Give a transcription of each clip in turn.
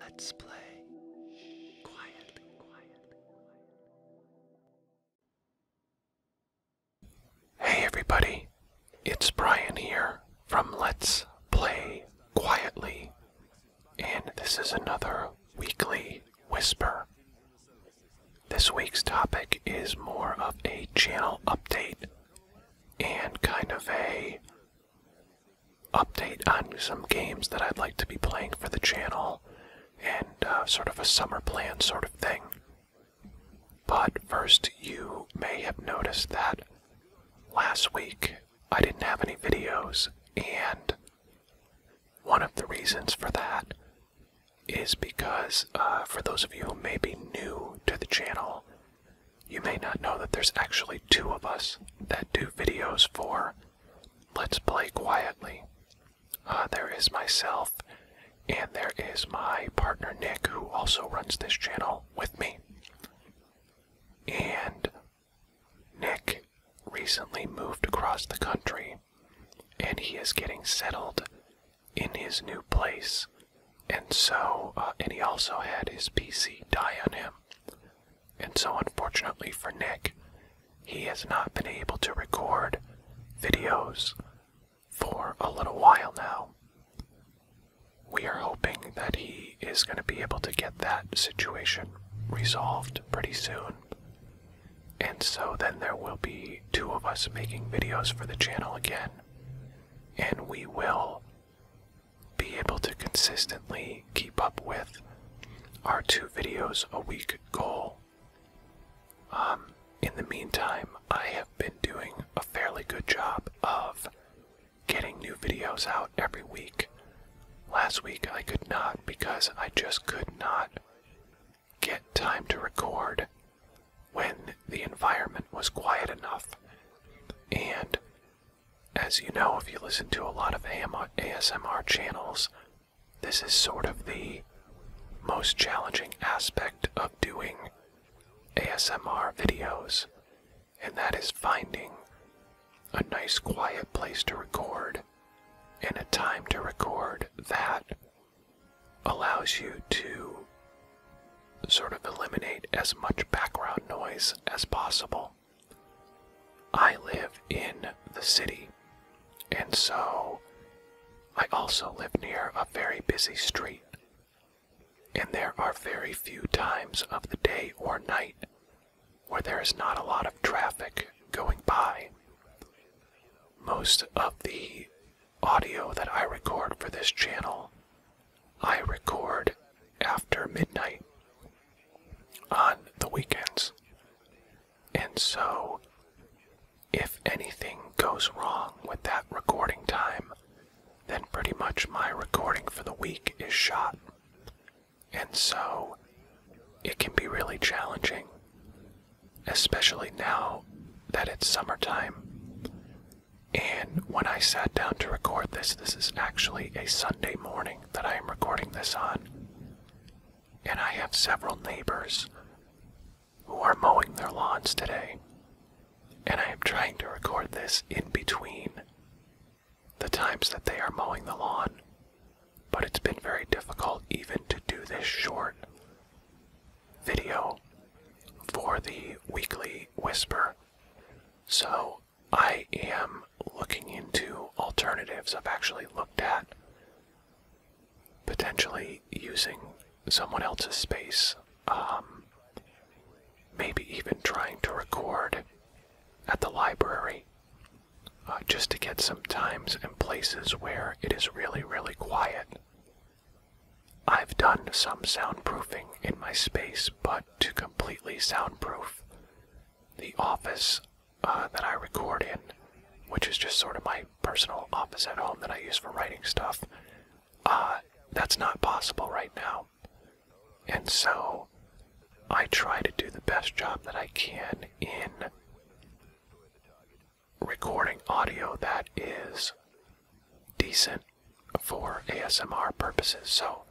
Let's play Hey everybody, it's Brian here from Let's Play Quietly, and this is another weekly whisper. This week's topic is more of a channel update and kind of a update on some games that I'd like to be playing for the channel and uh, sort of a summer plan sort of thing. But first, you may have noticed that last week I didn't have any videos, and one of the reasons for that is because, uh, for those of you who may be new to the channel, you may not know that there's actually two of us that do videos for Let's Play Quietly. Uh, there is myself, and there is my partner Nick, who also runs this channel with me. And Nick recently moved across the country, and he is getting settled in his new place. And so, uh, and he also had his PC die on him. And so, unfortunately for Nick, he has not been able to record videos for a little while now. We are hoping that he is going to be able to get that situation resolved pretty soon. And so then there will be two of us making videos for the channel again. And we will be able to consistently keep up with our two videos a week goal. Um, in the meantime, I have been doing a fairly good job of getting new videos out every week. Last week I could not because I just could not get time to record when the environment was quiet enough. And as you know, if you listen to a lot of ASMR channels, this is sort of the most challenging aspect of doing ASMR videos, and that is finding a nice quiet place to record and a time to record that allows you to sort of eliminate as much background noise as possible. I live in the city, and so I also live near a very busy street, and there are very few times of the day or night where there is not a lot of traffic going by. Most of the audio that I record for this channel I record after midnight on the weekends. And so, if anything goes wrong with that recording time, then pretty much my recording for the week is shot. And so, it can be really challenging, especially now that it's summertime. And when I sat down to record this, this is actually a Sunday morning that I am recording this on. And I have several neighbors who are mowing their lawns today. And I am trying to record this in between the times that they are mowing the lawn. But it's been very difficult even to do this short video for the weekly whisper so I am looking into alternatives. I've actually looked at potentially using someone else's space. Um, maybe even trying to record at the library uh, just to get some times and places where it is really, really quiet I've done some soundproofing in my space, but to completely soundproof the office uh, that I record in, which is just sort of my personal office at home that I use for writing stuff, uh, that's not possible right now. And so I try to do the best job that I can in recording audio that is decent for ASMR purposes. So,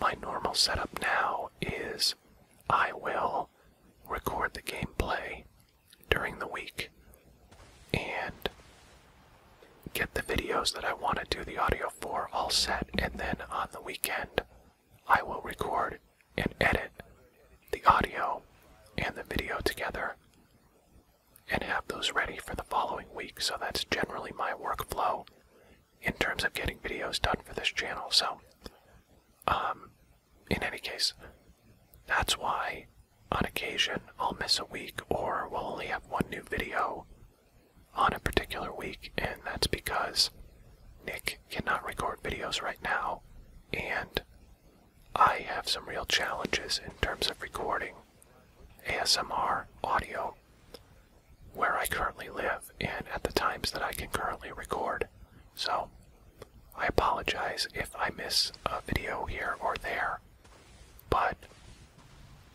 my normal setup now is I will record the gameplay during the week and get the videos that I want to do the audio for all set, and then on the weekend, I will record and edit the audio and the video together and have those ready for the following week. So that's generally my workflow in terms of getting videos done for this channel. So, um, in any case, that's why on occasion I'll miss a week or we'll only have one new video on a particular week, and that's because Nick cannot record videos right now, and I have some real challenges in terms of recording ASMR audio where I currently live and at the times that I can currently record. So, I apologize if I miss a video here or there, but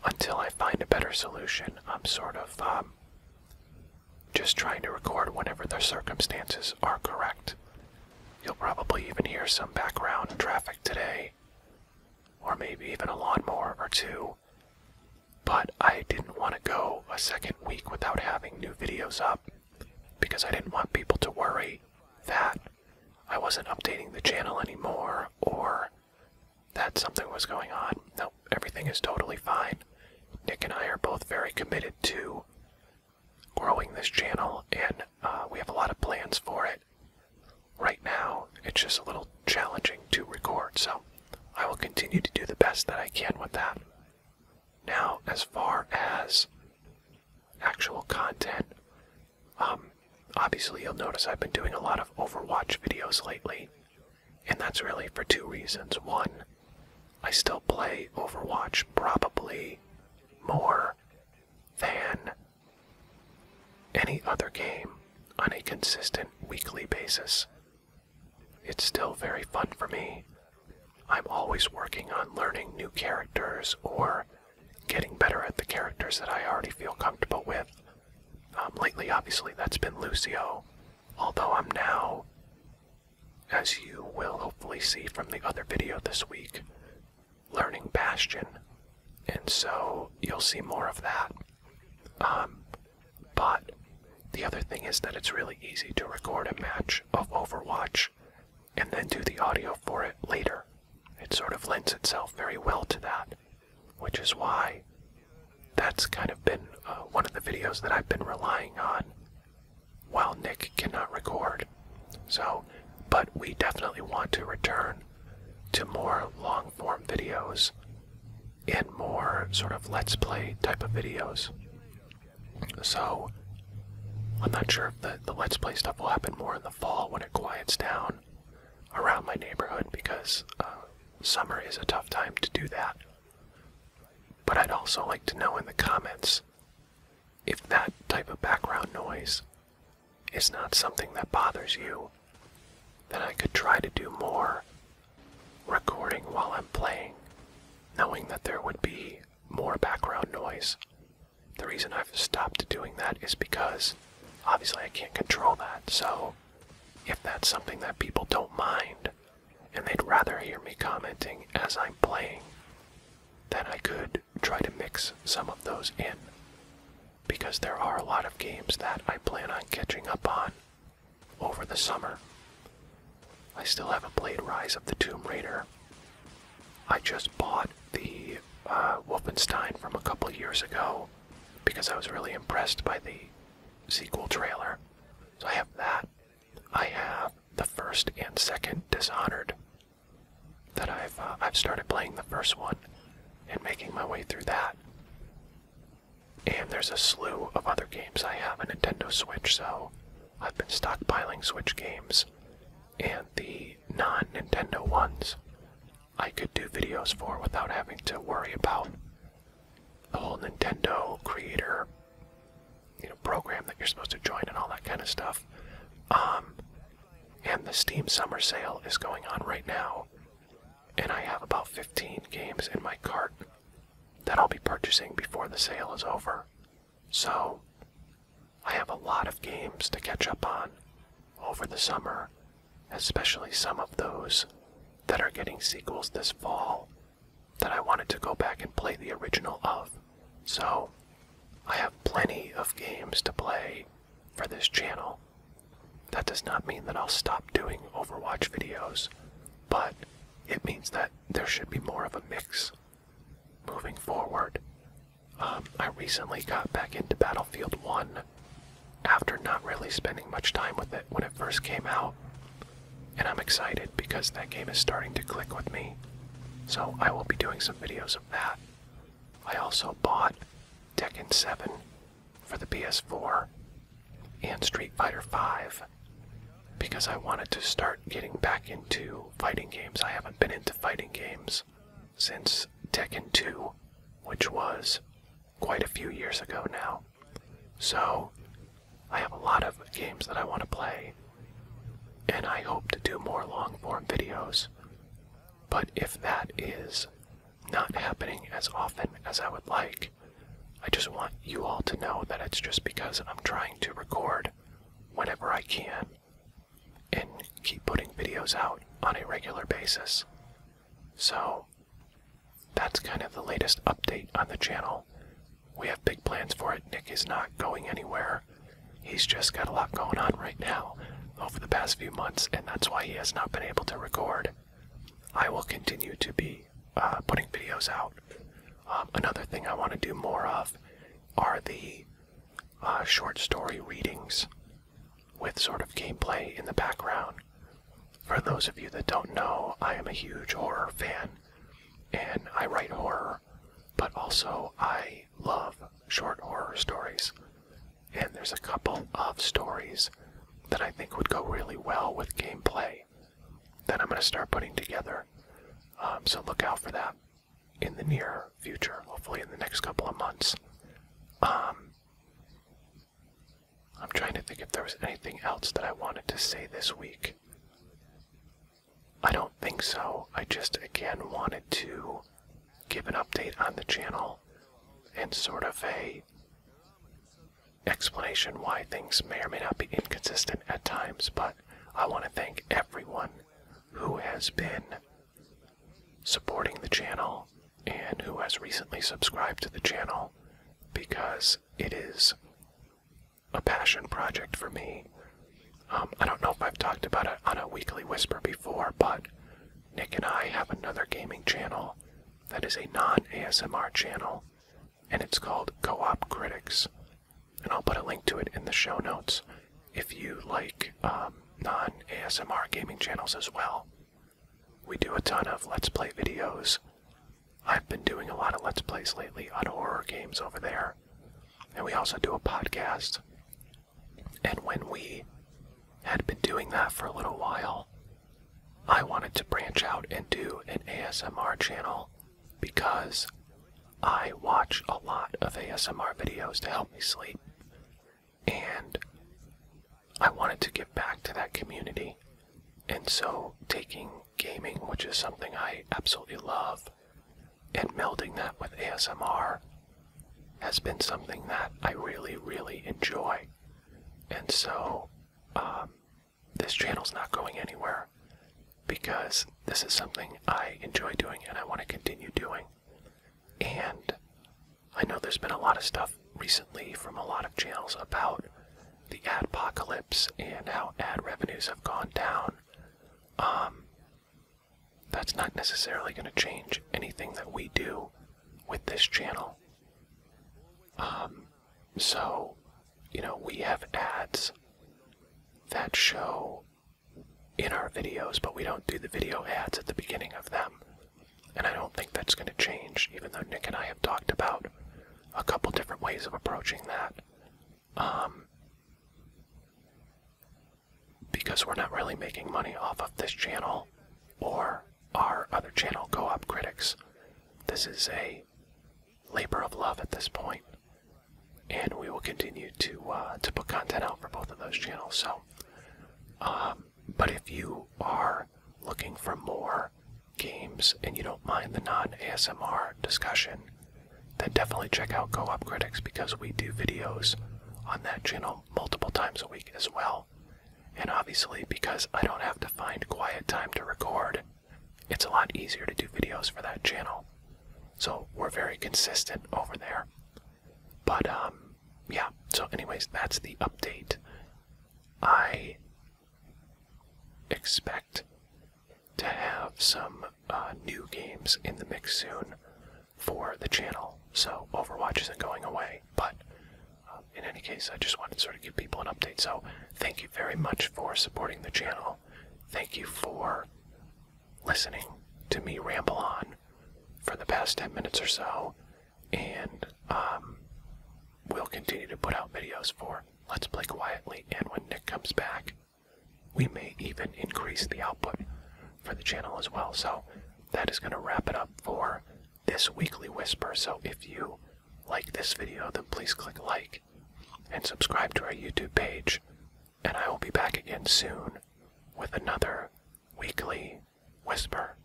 until I find a better solution, I'm sort of um, just trying to record whenever the circumstances are correct. You'll probably even hear some background traffic today or maybe even a lawnmower or two. But I didn't want to go a second week without having new videos up because I didn't want people to worry that I wasn't updating the channel anymore or that something was going on. No, everything is totally fine. Nick and I are both very committed to growing this channel and uh, we have a lot of plans for it right now it's just a little challenging to record, so I will continue to do the best that I can with that. Now, as far as actual content, um, obviously you'll notice I've been doing a lot of Overwatch videos lately, and that's really for two reasons. One, I still play Overwatch probably more than any other game on a consistent weekly basis. It's still very fun for me. I'm always working on learning new characters or getting better at the characters that I already feel comfortable with. Um, lately, obviously, that's been Lucio, although I'm now, as you will hopefully see from the other video this week, learning Bastion, and so you'll see more of that. Um, but the other thing is that it's really easy to record a match of Overwatch and then do the audio for it later. It sort of lends itself very well to that, which is why that's kind of been uh, one of the videos that I've been relying on while Nick cannot record. So, but we definitely want to return to more long form videos and more sort of let's play type of videos. So, I'm not sure if the, the let's play stuff will happen more in the fall when it quiets down around my neighborhood because uh, summer is a tough time to do that. But I'd also like to know in the comments if that type of background noise is not something that bothers you, then I could try to do more recording while I'm playing, knowing that there would be more background noise. The reason I've stopped doing that is because obviously I can't control that, so if that's something that people don't mind and they'd rather hear me commenting as I'm playing, then I could try to mix some of those in because there are a lot of games that I plan on catching up on over the summer. I still haven't played Rise of the Tomb Raider. I just bought the uh, Wolfenstein from a couple years ago because I was really impressed by the sequel trailer. So I have that. I have the first and second Dishonored that I've uh, I've started playing the first one and making my way through that. And there's a slew of other games. I have a Nintendo Switch, so I've been stockpiling Switch games and the non-Nintendo ones I could do videos for without having to worry about the whole Nintendo creator you know program that you're supposed to join and all that kind of stuff. Um, and the Steam Summer Sale is going on right now, and I have about 15 games in my cart that I'll be purchasing before the sale is over. So I have a lot of games to catch up on over the summer, especially some of those that are getting sequels this fall that I wanted to go back and play the original of. So, I have plenty of games to play for this channel. That does not mean that I'll stop doing Overwatch videos, but it means that there should be more of a mix moving forward. Um, I recently got back into Battlefield 1 after not really spending much time with it when it first came out, and I'm excited because that game is starting to click with me. So I will be doing some videos of that. I also bought Tekken 7 for the PS4 and Street Fighter 5 because I wanted to start getting back into fighting games. I haven't been into fighting games since Tekken 2, which was quite a few years ago now. So I have a lot of games that I want to play and I hope to do more long form videos. But if that is not happening as often as I would like, I just want you all to know that it's just because I'm trying to record whenever I can and keep putting videos out on a regular basis. So that's kind of the latest update on the channel. We have big plans for it. Nick is not going anywhere. He's just got a lot going on right now over the past few months, and that's why he has not been able to record. I will continue to be uh, putting videos out. Um, another thing I want to do more of are the uh, short story readings with sort of gameplay in the background. For those of you that don't know, I am a huge horror fan, and I write horror but also I love short horror stories. And there's a couple of stories that I think would go really well with gameplay that I'm going to start putting together. Um, so look out for that in the near future, hopefully in the next couple of months. Um, I'm trying to think if there was anything else that I wanted to say this week. I don't think so. I just again wanted to give an update on the channel and sort of a explanation why things may or may not be inconsistent at times, but I want to thank everyone who has been supporting the channel and who has recently subscribed to the channel because it is a passion project for me. Um, I don't know if I've talked about it on a weekly whisper before, but Nick and I have another gaming channel that is a non ASMR channel, and it's called Co op Critics. And I'll put a link to it in the show notes if you like um, non ASMR gaming channels as well. We do a ton of Let's Play videos, I've been doing a lot of Let's Plays lately on horror games over there. And we also do a podcast. And when we had been doing that for a little while, I wanted to branch out and do an ASMR channel because I watch a lot of ASMR videos to help me sleep. And I wanted to give back to that community and so taking gaming, which is something I absolutely love, and melding that with ASMR has been something that I really, really enjoy. And so um, this channel's not going anywhere because this is something I enjoy doing and I want to continue doing. And I know there's been a lot of stuff recently from a lot of channels about the ad apocalypse and how ad revenues have gone down, um, that's not necessarily going to change anything that we do with this channel. Um, so, you know, we have ads that show in our videos, but we don't do the video ads at the beginning of them. And I don't think that's going to change, even though Nick and I have talked about a couple different ways of approaching that um, because we're not really making money off of this channel or our other channel go up critics this is a labor of love at this point and we will continue to uh, to put content out for both of those channels so um, but if you are looking for more games and you don't mind the non ASMR discussion, then definitely check out Go Up Critics because we do videos on that channel multiple times a week as well. And obviously, because I don't have to find quiet time to record, it's a lot easier to do videos for that channel. So we're very consistent over there. But, um, yeah, so, anyways, that's the update. I expect to have some uh, new games in the mix soon for the channel. So Overwatch isn't going away, but um, in any case, I just wanted to sort of give people an update. So thank you very much for supporting the channel. Thank you for listening to me ramble on for the past 10 minutes or so, and um, we'll continue to put out videos for Let's play quietly, and when Nick comes back, we may even increase the output for the channel as well. So that is going to wrap it up for this weekly whisper. So if you like this video, then please click like and subscribe to our YouTube page. And I will be back again soon with another weekly whisper.